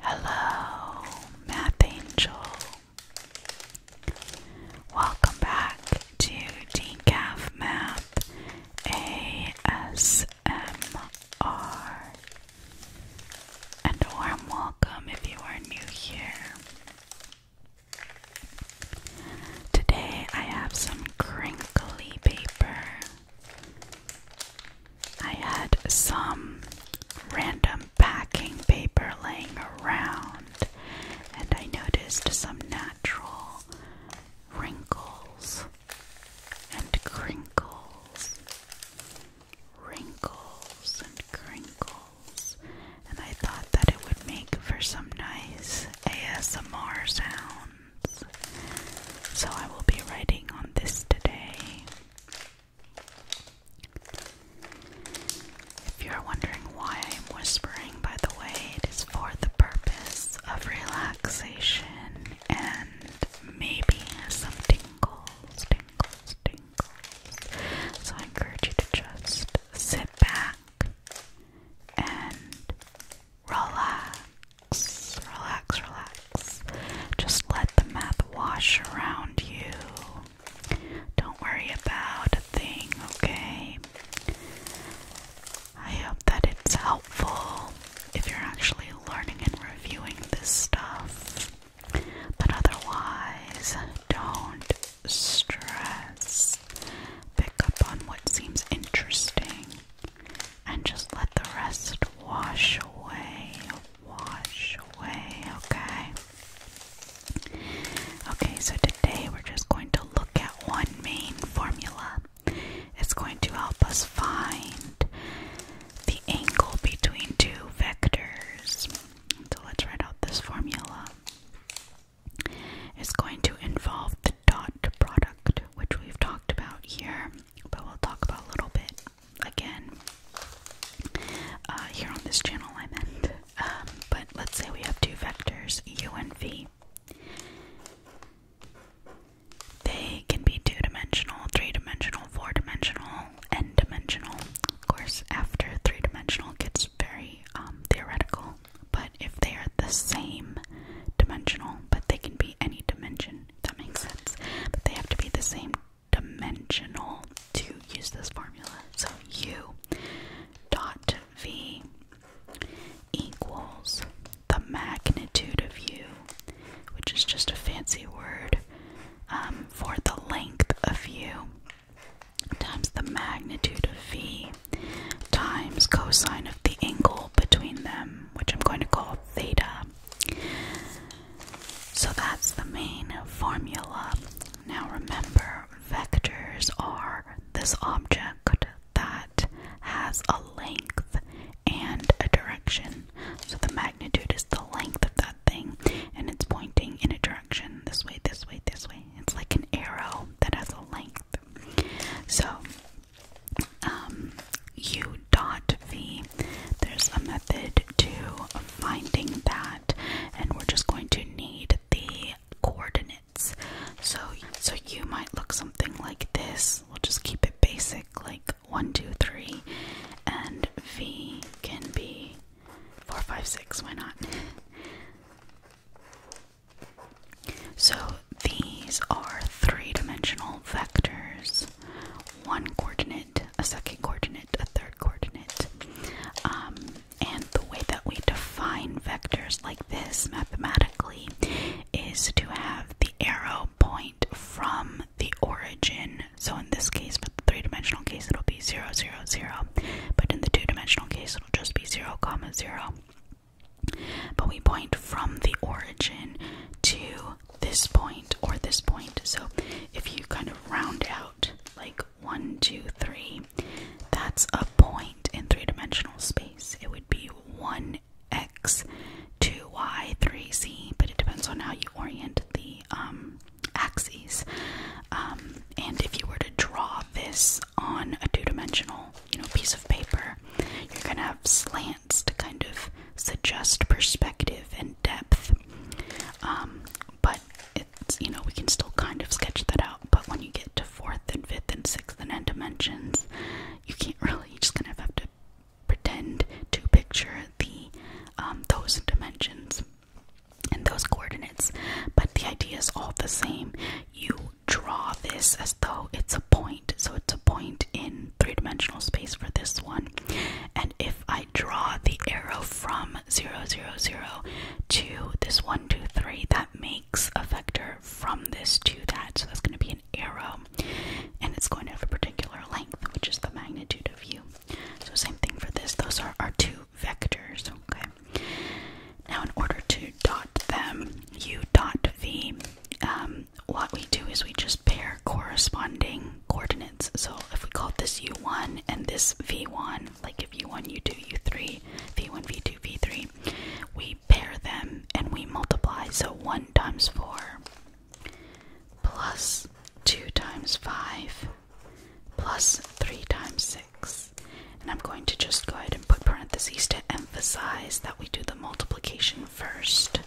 Hello, Math Angel. Welcome back to Decaf Math ASMR. And a warm welcome if you are new here. Today I have some crinkly paper. I had some random packing paper laying around, and I noticed some natural wrinkles and crinkles. Wrinkles and crinkles, and I thought that it would make for some nice ASMR sounds. So I will be writing on this today. If you are wondering why I am whispering, by the way, it is for the purpose of relaxation and maybe some tingles, tingles, tingles. So I encourage you to just sit back and relax, relax, relax. Just let the math wash around you. Don't worry about a thing, okay? I hope that it's helpful if you're actually learning and reviewing this stuff. But otherwise, don't stress. Pick up on what seems interesting and just let the rest wash away, wash away, okay? Okay, so today we're just going to look at one main formula. It's going to help us find the angle between two vectors. So let's write out this formula. It's going to involve the dot product, which we've talked about here, but we'll talk about a little bit again uh, here on this channel, I meant. Um, but let's say we have two vectors, u and v. They can be two dimensional, three dimensional, four dimensional, n dimensional. Of course, after three dimensional gets very um, theoretical, but if they are the same dimensional, but they can be any dimension, that makes sense, but they have to be the same dimensional to use this formula. So u dot v equals the magnitude of u, which is just a fancy word um, for the length of u, times the magnitude of v, times cosine of the angle between them, which I'm going to call theta. So that's the main formula. Now remember, vectors are this object that has a length and a direction. So the magnitude is the length of that thing and it's pointing in a direction this way, this way, this way. It's like an arrow that has a length. So um, u dot v. There's a method to finding that, and we're just going to need the coordinates. So, so u might look something like this. We'll just keep it basic, like one, two, three, and v can be four, five, six. Why not? So these are three dimensional vectors. One coordinate a second coordinate, a third coordinate. Um, and the way that we define vectors like this mathematically is to have the arrow point from the origin. So in this case, for the three dimensional case, it'll be 0, 0, 0. But in the two dimensional case, it'll just be 0, comma 0. But we point from the origin to this point or this point. So if you kind of round out like one, two, three, that's a point in three dimensional space. It would be 1x, 2y, 3z, but it depends on how you orient the um, axes. Um, and if you were to draw this on a two dimensional you know, piece of paper, you're going to have slants to kind of suggest perspective and depth. Um, but it's you know we can still kind of sketch that out. But when you get to fourth and fifth and sixth and n dimensions, you can't really. just kind of have to pretend to picture the um, those dimensions and those coordinates. But the idea is all the same. You draw this as though it's a point, so it's a point in three dimensional space for this one. And if I I draw the arrow from 0, 0, 0 to this 1, 2, 3, that makes a vector from this to that. So that's going to be an arrow, and it's going to have a particular length, which is the magnitude of u. So same thing for this. Those are our two vectors, okay? Now in order to dot them, u dot v, um, what we do is we just pair corresponding coordinates. So if we call this u1 and this v1, like if u1, u2, u3, v1, v2, v3, we pair them and we multiply. So 1 times 4 plus 2 times 5 plus 3 times 6. And I'm going to just go ahead and put parentheses to emphasize that we do the multiplication first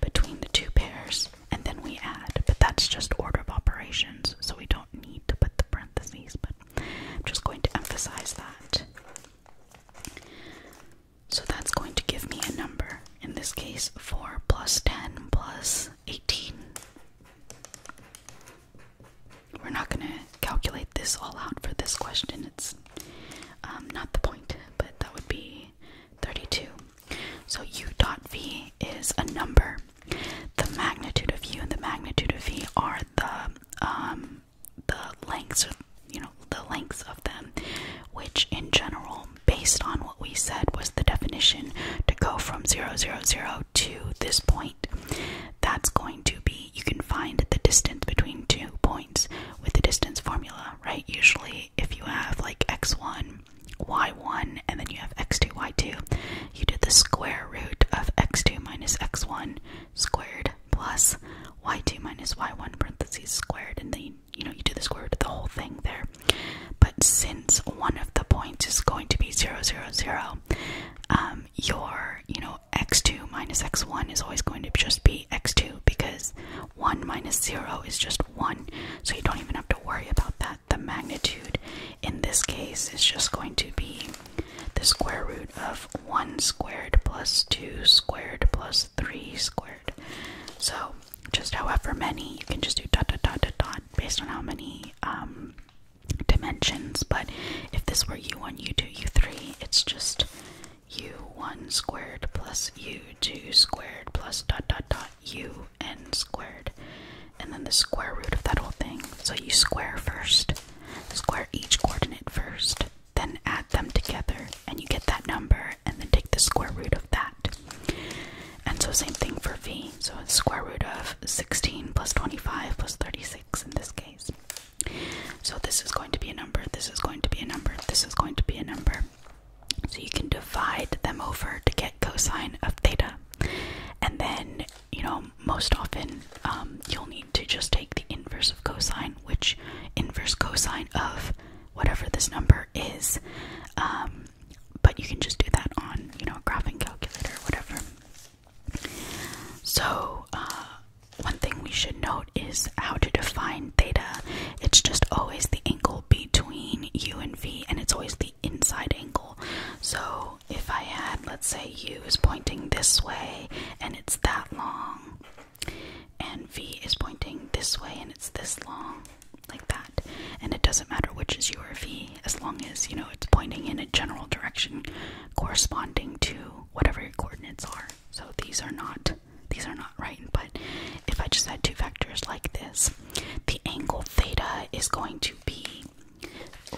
between the two pairs and then we add, but that's just order of operations, so we don't need to put the parentheses, but I'm just going to emphasize that. So that's going to give me a number, in this case 4 plus 10 plus 18. We're not going to calculate this all out for this question, it's um, not the point, but that would be 32 so u dot v is a number. The magnitude of u and the magnitude of v are the um, the lengths, you know, the lengths of them, which in general, based on what we said, was the definition to go from 0, 0, 0 to this point. That's going to be, you can find the distance between two points with the distance formula, right? Usually if you have like x1, y1, and then you have x2, y2, you do the square root of x2 minus x1 squared plus y2 minus y1 parentheses squared, and then you know you do the square root of the whole thing there. But since one of the points is going to be 0, 0, 0, um, your you know x2 minus x1 is always going to just be x2 because 1 minus 0 is just 1, so you don't even have to worry about that the magnitude in this case is just going to be the square root of 1 squared plus 2 squared plus 3 squared. So, just however many, you can just do dot dot dot dot dot based on how many um, dimensions. But if this were u1, u2, u3, it's just u1 squared plus u2 squared plus dot dot dot u n squared, and then the square root of that whole thing. So you square first, square each coordinate first, then add them together, and you get that number, and then take the square root of that. And so, same thing for v. So, square root of 16 plus 25 plus 36 in this case. So, this is going to be a number, this is going to be a number, this is going to be a number. So you can divide them over to get cosine of theta. And then, you know, most often um, you'll need to just take the inverse of cosine, which inverse cosine of whatever this number is. Um, but you can just do that on, you know, a graphing calculator or whatever. So, uh, one thing we should note is how to define theta. It's just always the angle between u and v, and it's always the inside angle. So if I had, let's say, u is pointing this way and it's that long, and v is pointing this way and it's this long, like that. And it doesn't matter which is u or v, as long as you know it's pointing in a general direction corresponding to whatever your coordinates are. So these are not these are not right. But if I just had two vectors like this, the angle theta is going to be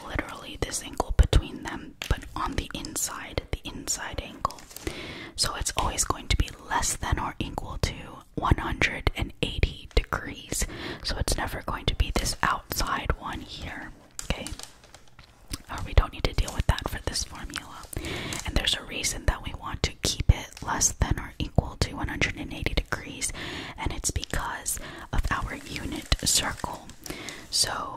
literally this angle between them, but on the inside, the inside angle. So it's always going to be less than or equal to 180 degrees. So it's never going to be this outside one here. Okay? Uh, we don't need to deal with that for this formula. And there's a reason that we want to keep it less than or equal to 180 degrees, and it's because of our unit circle. So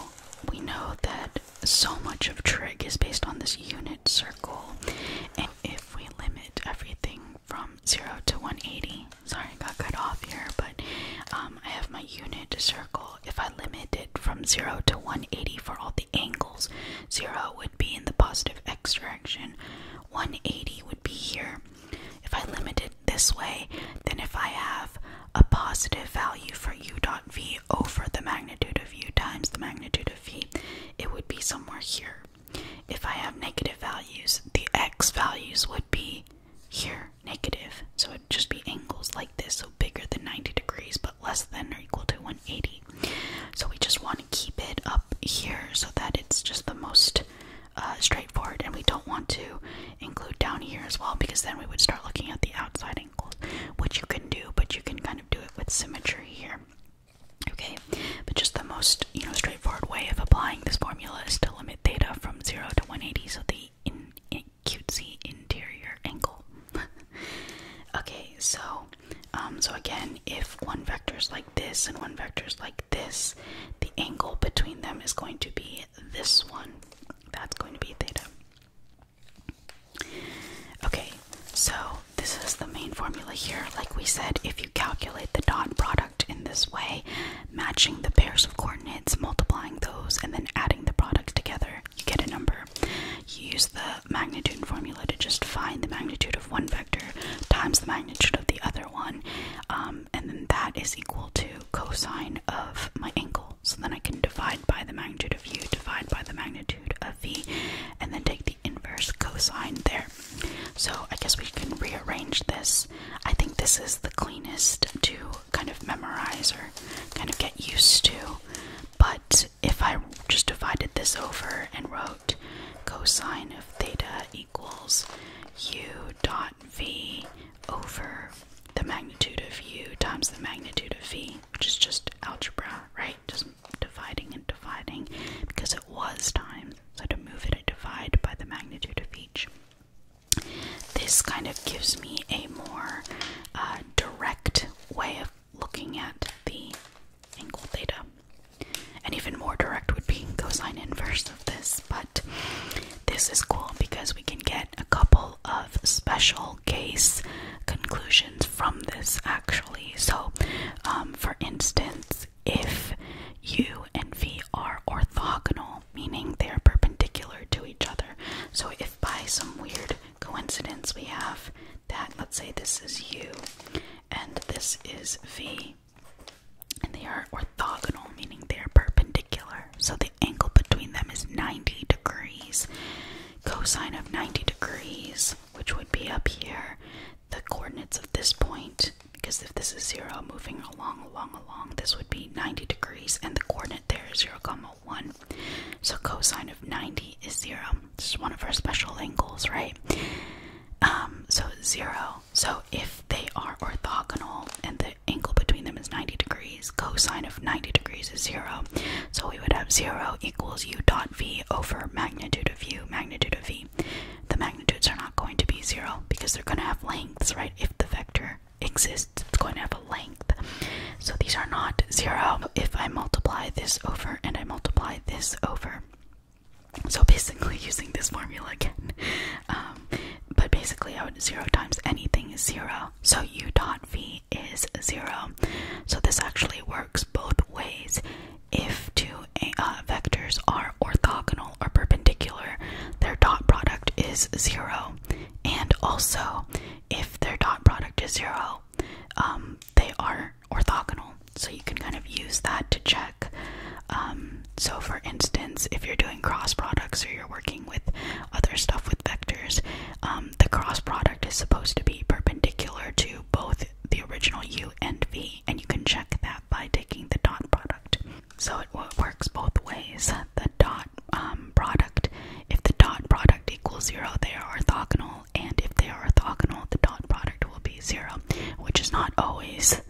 we know that so much of trig is based on this unit circle, and if we limit everything from 0 to 180, sorry, I got cut off here, but um, I have my unit circle. If I limit it from 0 to 180 for all the angles, 0 would be in the positive x direction, 180 would be here. If I limit it this way, then if I have a positive value for u dot v over the magnitude of u times the magnitude of v, it would be somewhere here. If I have negative values, the x values would be here, negative. So it'd just be angles like this, so bigger than 90 degrees, but less than or equal to 180. So we just want to keep it up here so that it's just the most uh, straightforward, and we don't want to include down here as well because then we would start looking at the outside angles, which you can do, but you can kind of do it with symmetry here. Okay, but just the most you know straightforward way of applying this formula is to limit theta from zero to 180, so the in, cutesy interior angle. okay, so um, so again, if one vector is like this and one vector is like this, the angle between them is going to be this one. That's going to be theta. Okay, so this is the main formula here. Like we said, if you calculate the dot product in this way, matching the pairs of coordinates, multiplying those, and then adding the products together, you get a number. You use the magnitude formula to just find the magnitude of one vector times the magnitude of the other one, um, and then that is equal to cosine of my angle. So then I can divide by the magnitude of u, divide by the magnitude of v, and then take the inverse cosine there. So I guess we can rearrange this. I think this is the cleanest to kind of memorize or kind of get used to. But if I just divided this over and wrote cosine of theta equals u dot v over the magnitude of u times the magnitude of v, which is just algebra, right? Just dividing and dividing because it was times. So to move it, I divide by the magnitude of each. This kind of gives me a more uh, direct way of looking at the angle theta. And even more direct would be cosine inverse of this, but this is cool because we can get a couple of special case conclusions from this actually. So, um, for instance, if u and v are orthogonal, meaning they are perpendicular to each other, so if by some weird coincidence we have that, let's say this is u and this is V. And they are orthogonal, meaning they are perpendicular. So the angle between them is 90 degrees. Cosine of 90 degrees, which would be up here, the coordinates of this point, because if this is 0, moving along, along, along, this would be 90 degrees, and the coordinate there is 0, comma 1. So cosine of 90 is 0. It's one of our special angles, right? Um, so 0 so if they are orthogonal and the angle between them is 90 degrees, cosine of 90 degrees is 0. So we would have 0 equals u dot v over magnitude of u, magnitude of v. The magnitudes are not going to be 0 because they're going to have lengths, right? If the vector exists, it's going to have a length. So these are not 0. If I multiply this over and I multiply this over, so basically, using this formula again, um, but basically, zero times anything is zero. So u dot v is zero. So this actually works both ways. If two uh, vectors are orthogonal or perpendicular, their dot product is zero. And also, if their dot product is zero, um, they are orthogonal. So you can kind of use that to check. Um, so, for instance, if you're doing cross products or you're working with other stuff with vectors, um, the cross product is supposed to be perpendicular to both the original u and v, and you can check that by taking the dot product. So it works both ways. The dot um, product, if the dot product equals zero, they are orthogonal, and if they are orthogonal, the dot product will be zero, which is not always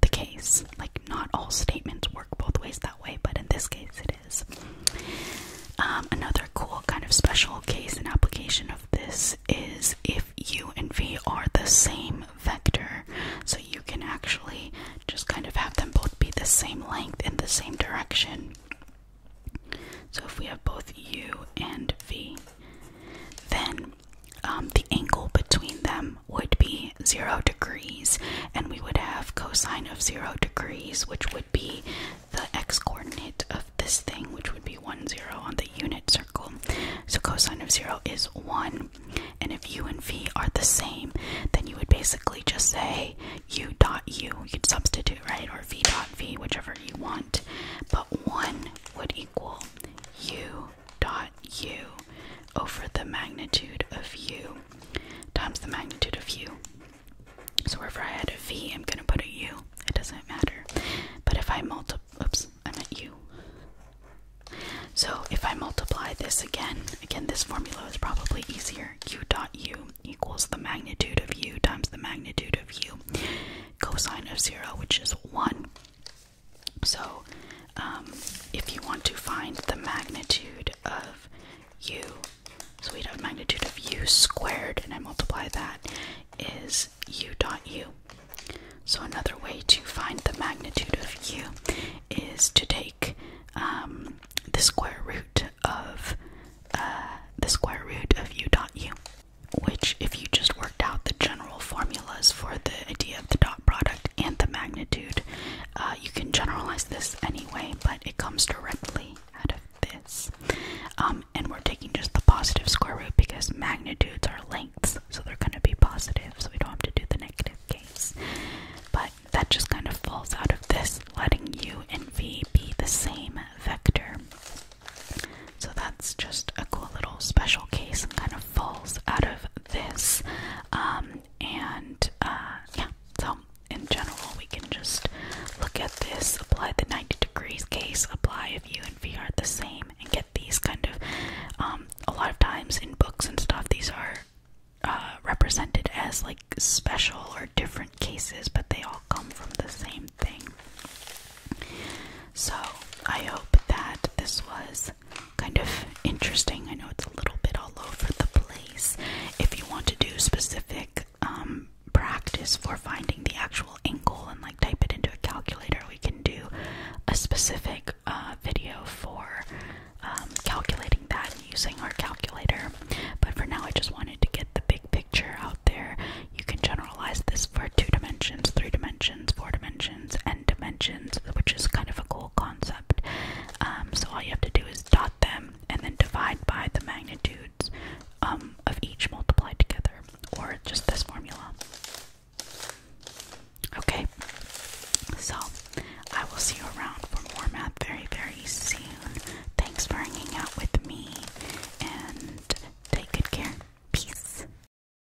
the case. Like, not all statements work both ways that way, but in this case, it is. Um, another cool kind of special case and application of this is if u and v are the same vector, so you can actually just kind of have them both be the same length in the same direction. So if we have both u and v, then um, the angle between them would be zero degrees, and we would have cosine of zero degrees, which would be the x coordinate of this thing, which would be 1, 0 on the unit circle. So cosine of 0 is 1, and if u and v are the same, then you would basically just say u dot u, you'd substitute, right, or v dot v, whichever you want, but 1 would equal u mu dot u over the magnitude of u times the magnitude of u. So wherever I had a v, I'm gonna put a u. It doesn't matter. But if I multiply, oops, I meant u. So if I multiply this again, again this formula is probably easier. u dot u equals the magnitude of u times the magnitude of u cosine of zero, which is one. So, um, if you want to find the magnitude of u, so we'd have magnitude of u squared, and I multiply that, is u dot u. So, another way to find the magnitude of u is to take um, the square root of uh, the square root of u dot u, which, if you just worked out the general formulas for the idea the dot product and the magnitude. Uh, you can generalize this anyway, but it comes directly out of this. Um, and we're taking just the positive square root because magnitudes are lengths, so they're going to be positive, so we don't have to do the negative case. But that just kind of falls out of this, letting u and v be the same vector. So that's just a cool little special case and kind of falls out of this. Um, and uh, yeah, so in general, we can just look at this, apply the 90 degrees case, apply if u and v are the same, and get these kind of. Um, a lot of times in books and stuff, these are uh, represented as like special or different cases, but they all come from the same thing. So I hope that this was kind of interesting. I know it's a little bit all over the place. If you want to do specific um, practice for finding the actual angle and like type it into a calculator, we can do a specific uh, video for um, calculating that using our calculator. But for now, I just wanted to get the big picture out there. You can generalize this for two dimensions, three dimensions, four dimensions, dimensions, which is kind of a cool concept. Um, so all you have to do is dot them and then divide by the magnitudes um, of each multiplied together, or just this formula. Okay, so I will see you around for more math very, very soon. Thanks for hanging out with me and take good care. Peace.